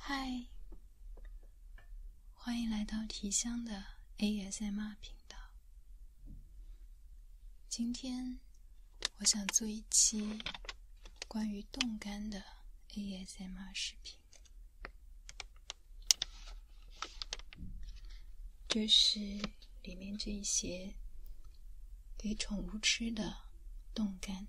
嗨，欢迎来到提香的 ASMR 频道。今天我想做一期关于冻干的 ASMR 视频。就是里面这一些给宠物吃的冻干。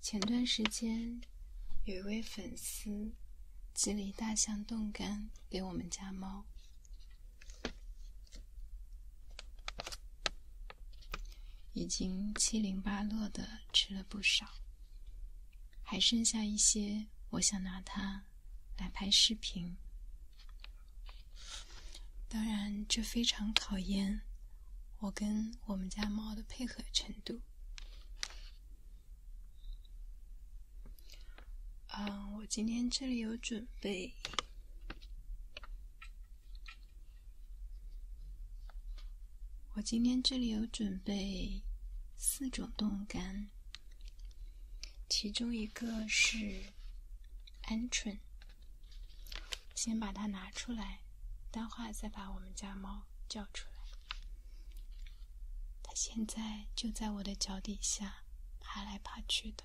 前段时间有一位粉丝寄了一大箱冻干给我们家猫。已经七零八落的吃了不少，还剩下一些，我想拿它来拍视频。当然，这非常考验我跟我们家猫的配合程度。嗯，我今天这里有准备。我今天这里有准备四种冻干，其中一个是鹌鹑。先把它拿出来，待会儿再把我们家猫叫出来。它现在就在我的脚底下爬来爬去的。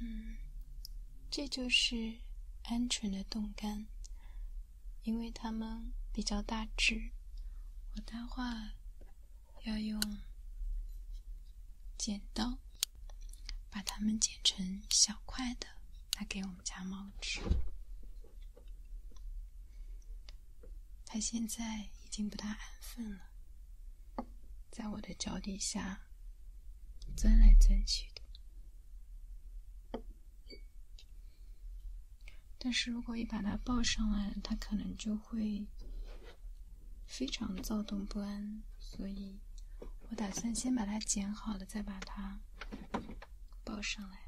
嗯，这就是鹌鹑的冻干，因为它们比较大只，我话要用剪刀。把它们剪成小块的来给我们家猫吃。它现在已经不大安分了，在我的脚底下钻来钻去的。但是如果一把它抱上来，它可能就会非常躁动不安，所以。我打算先把它剪好了，再把它包上来。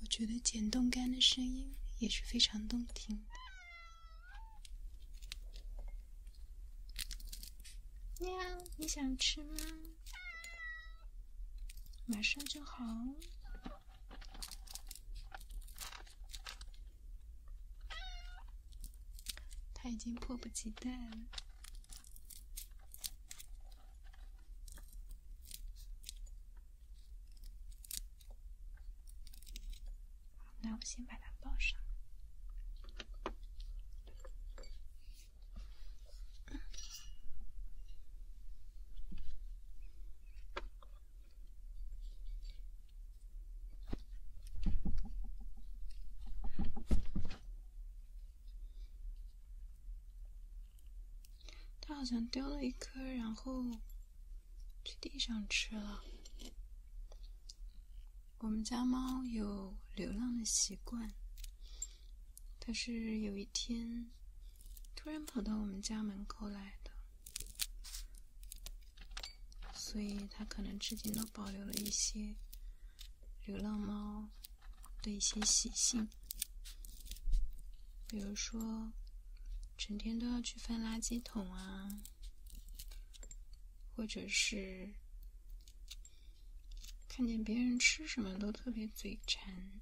我觉得剪冻干的声音也是非常动听。喵，你想吃吗？马上就好。他已经迫不及待了。那我先把它抱上。它好像丢了一颗，然后去地上吃了。我们家猫有流浪的习惯，它是有一天突然跑到我们家门口来的。所以，他可能至今都保留了一些流浪猫的一些习性，比如说，整天都要去翻垃圾桶啊，或者是看见别人吃什么都特别嘴馋。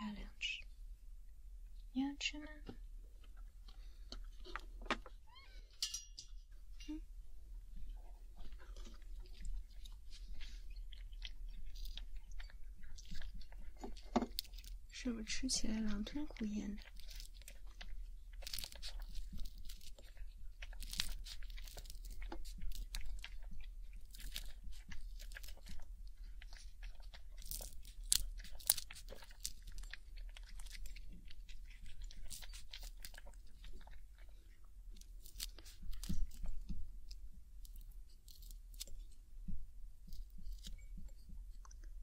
要两只？你要吃吗？嗯？是不是吃起来狼吞虎咽的？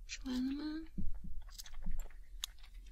吃完了吗？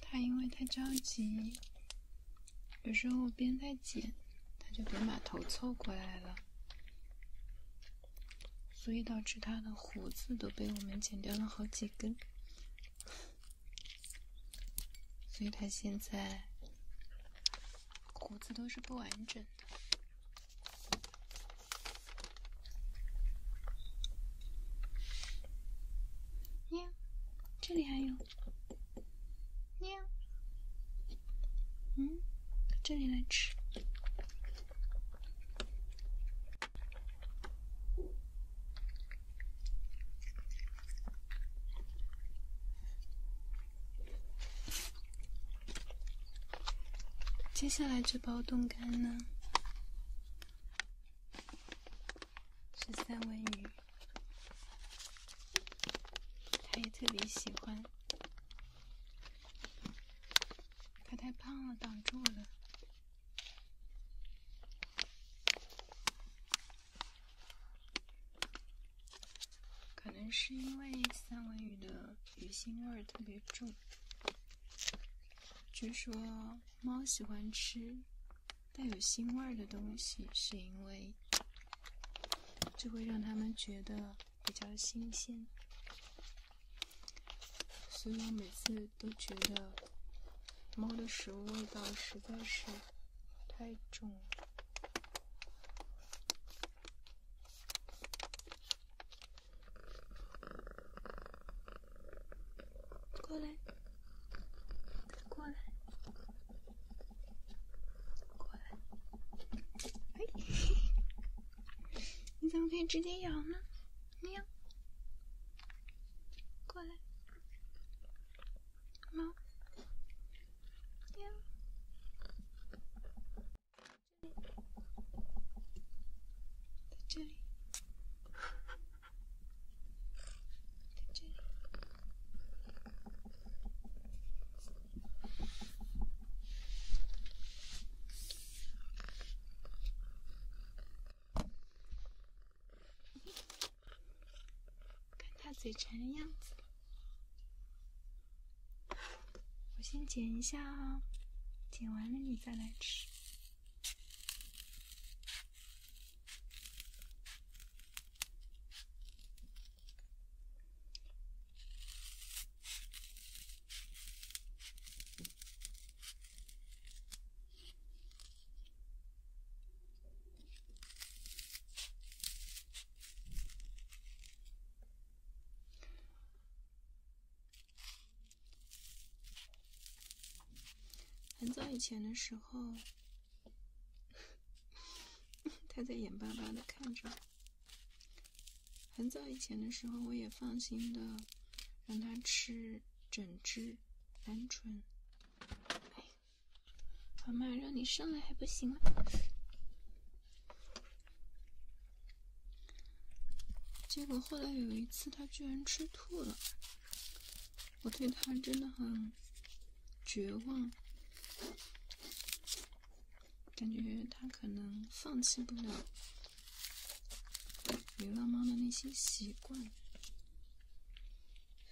他因为太着急，有时候我边在剪，他就边把头凑过来了。所以导致它的胡子都被我们剪掉了好几根，所以它现在胡子都是不完整的。喵，这里还有。喵，嗯，这里来吃。接下来这包冻干呢，是三文鱼，他也特别喜欢。它太胖了，挡住了。可能是因为三文鱼的鱼腥味特别重。据说猫喜欢吃带有腥味的东西，是因为这会让它们觉得。比较新鲜，所以我每次都觉得猫的食物味道实在是太重。了。过来，过来，过来，哎，你怎么可以直接咬呢？喵，过来，猫，喵，这里，在这里，在这里。看他嘴馋的样子，我先剪一下啊，剪完了你再来吃。很早以前的时候，他在眼巴巴的看着。很早以前的时候，我也放心的让他吃整只鹌鹑。哎，老妈，让你上来还不行吗？结果后来有一次，他居然吃吐了。我对他真的很绝望。感觉它可能放弃不了流浪猫的那些习惯，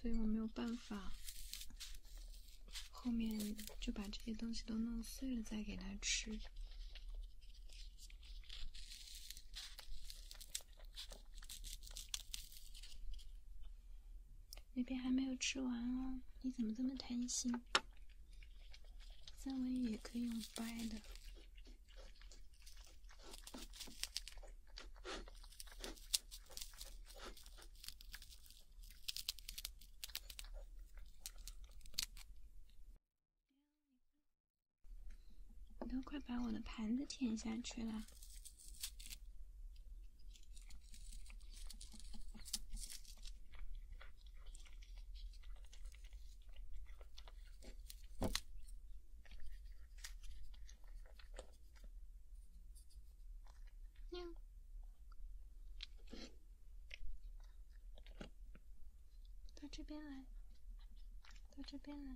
所以我没有办法。后面就把这些东西都弄碎了再给它吃。那边还没有吃完哦，你怎么这么贪心？三文鱼也可以用掰的。我都快把我的盘子舔下去了。喵，到这边来，到这边来。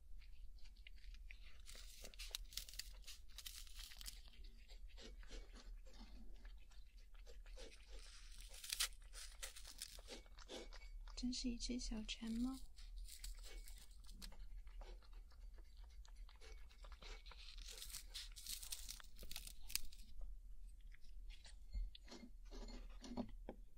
真是一只小馋猫。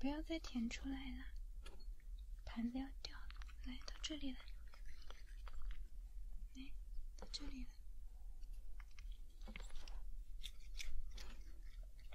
不要再舔出来了，盘子要掉了！来，到这里来，来，到这里来。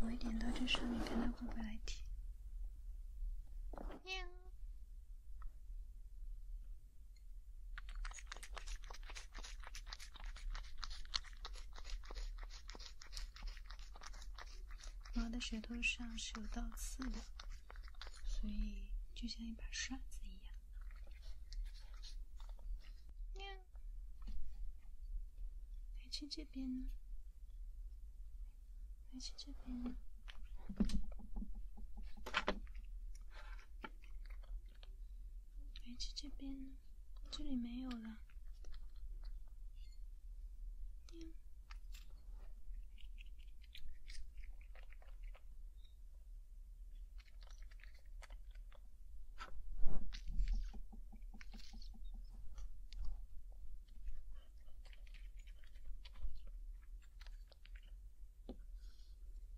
我一点到这上面，看它会不会来舔。喵！猫的舌头上是有倒刺的。所以就像一把刷子一样。喵，来去这边呢，来去这边呢，去这边呢，这里没有了。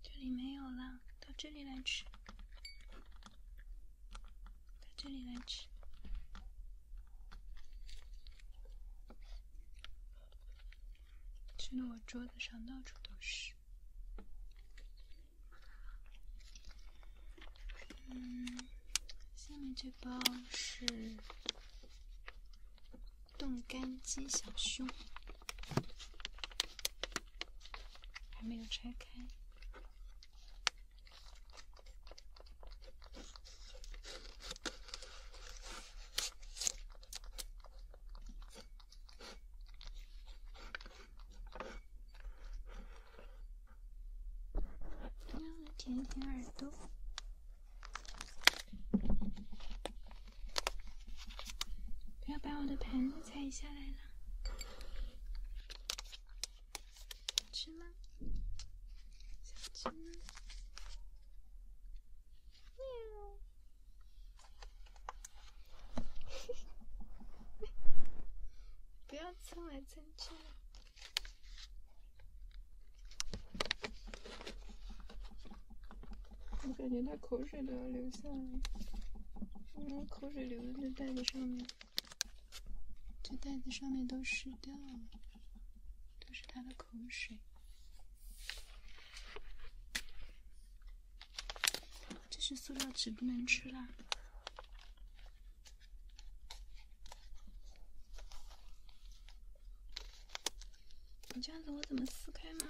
这里没有了，到这里来吃，到这里来吃。吃的我桌子上到处都是。嗯，下面这包是冻干鸡小胸，还没有拆开。我要一耳朵，不要把我的盘子踩下来了。想吃吗？想吃吗？喵。不要蹭来蹭去！我感觉他口水都要流下来，然后口水流在袋子上面，这袋子上面都湿掉了，都是他的。口水，这是塑料纸，不能吃啦！你这样子我怎么撕开嘛？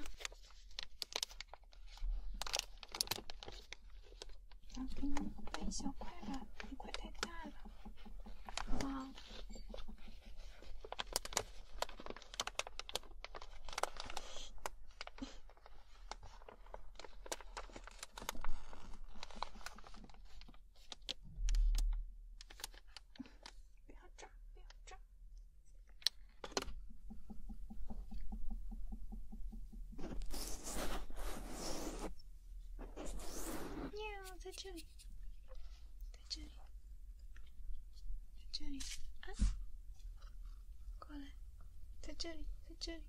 然后给你掰一小块吧，一块太大了，好不好？不要炸，不要炸。在这里。在这里，在这里，啊，过来，在这里，在这里，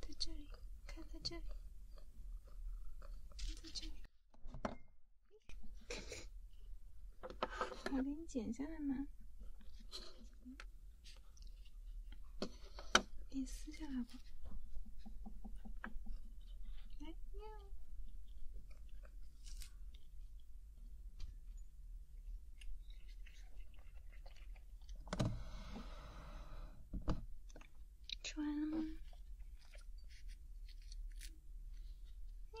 在这里，看在这里，在这里，我给你剪下来吗？给你撕下来吧。来，哎。吃完了吗？喵。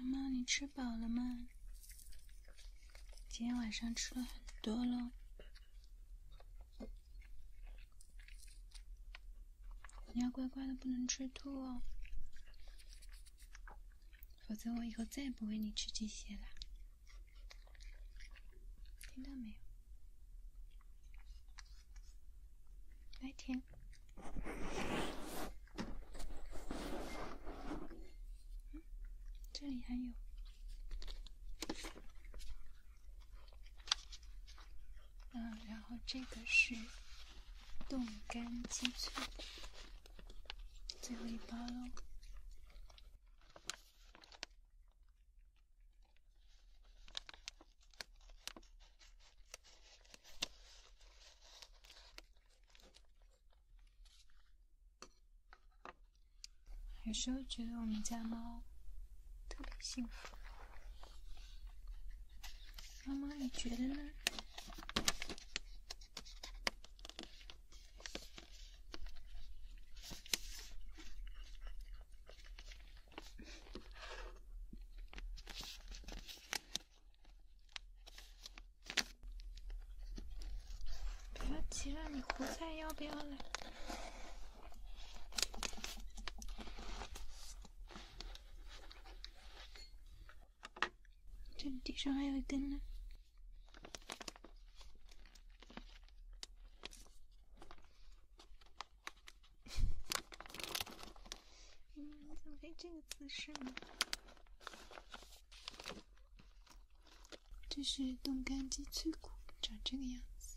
妈妈，你吃饱了吗？今天晚上吃了很多喽。你要乖乖的，不能吃吐哦，否则我以后再也不喂你吃这些了。听到没有？来舔。这里还有。嗯，然后这个是冻干鸡粹，最后一包喽。有时候觉得我们家猫特别幸福，妈妈，你觉得呢？不要急了，你胡菜要不要了？这地上还有一根呢。嗯，怎么这个姿势呢？这是冻干鸡脆骨，长这个样子。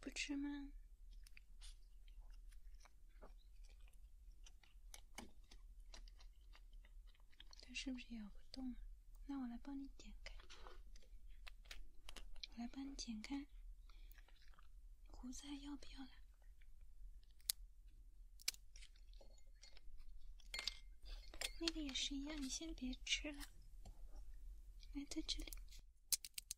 不吃吗？它是不是咬不动？那我来帮你剪开，我来帮你剪开。胡还要不要了？那个也是一样，你先别吃了，来在这里。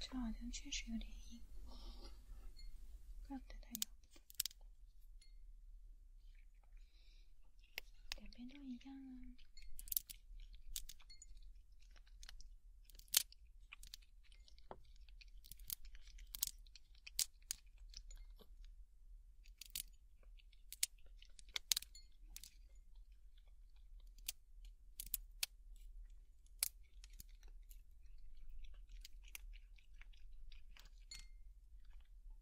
这好像确实有点硬，怪不得它咬。两边都一样啊。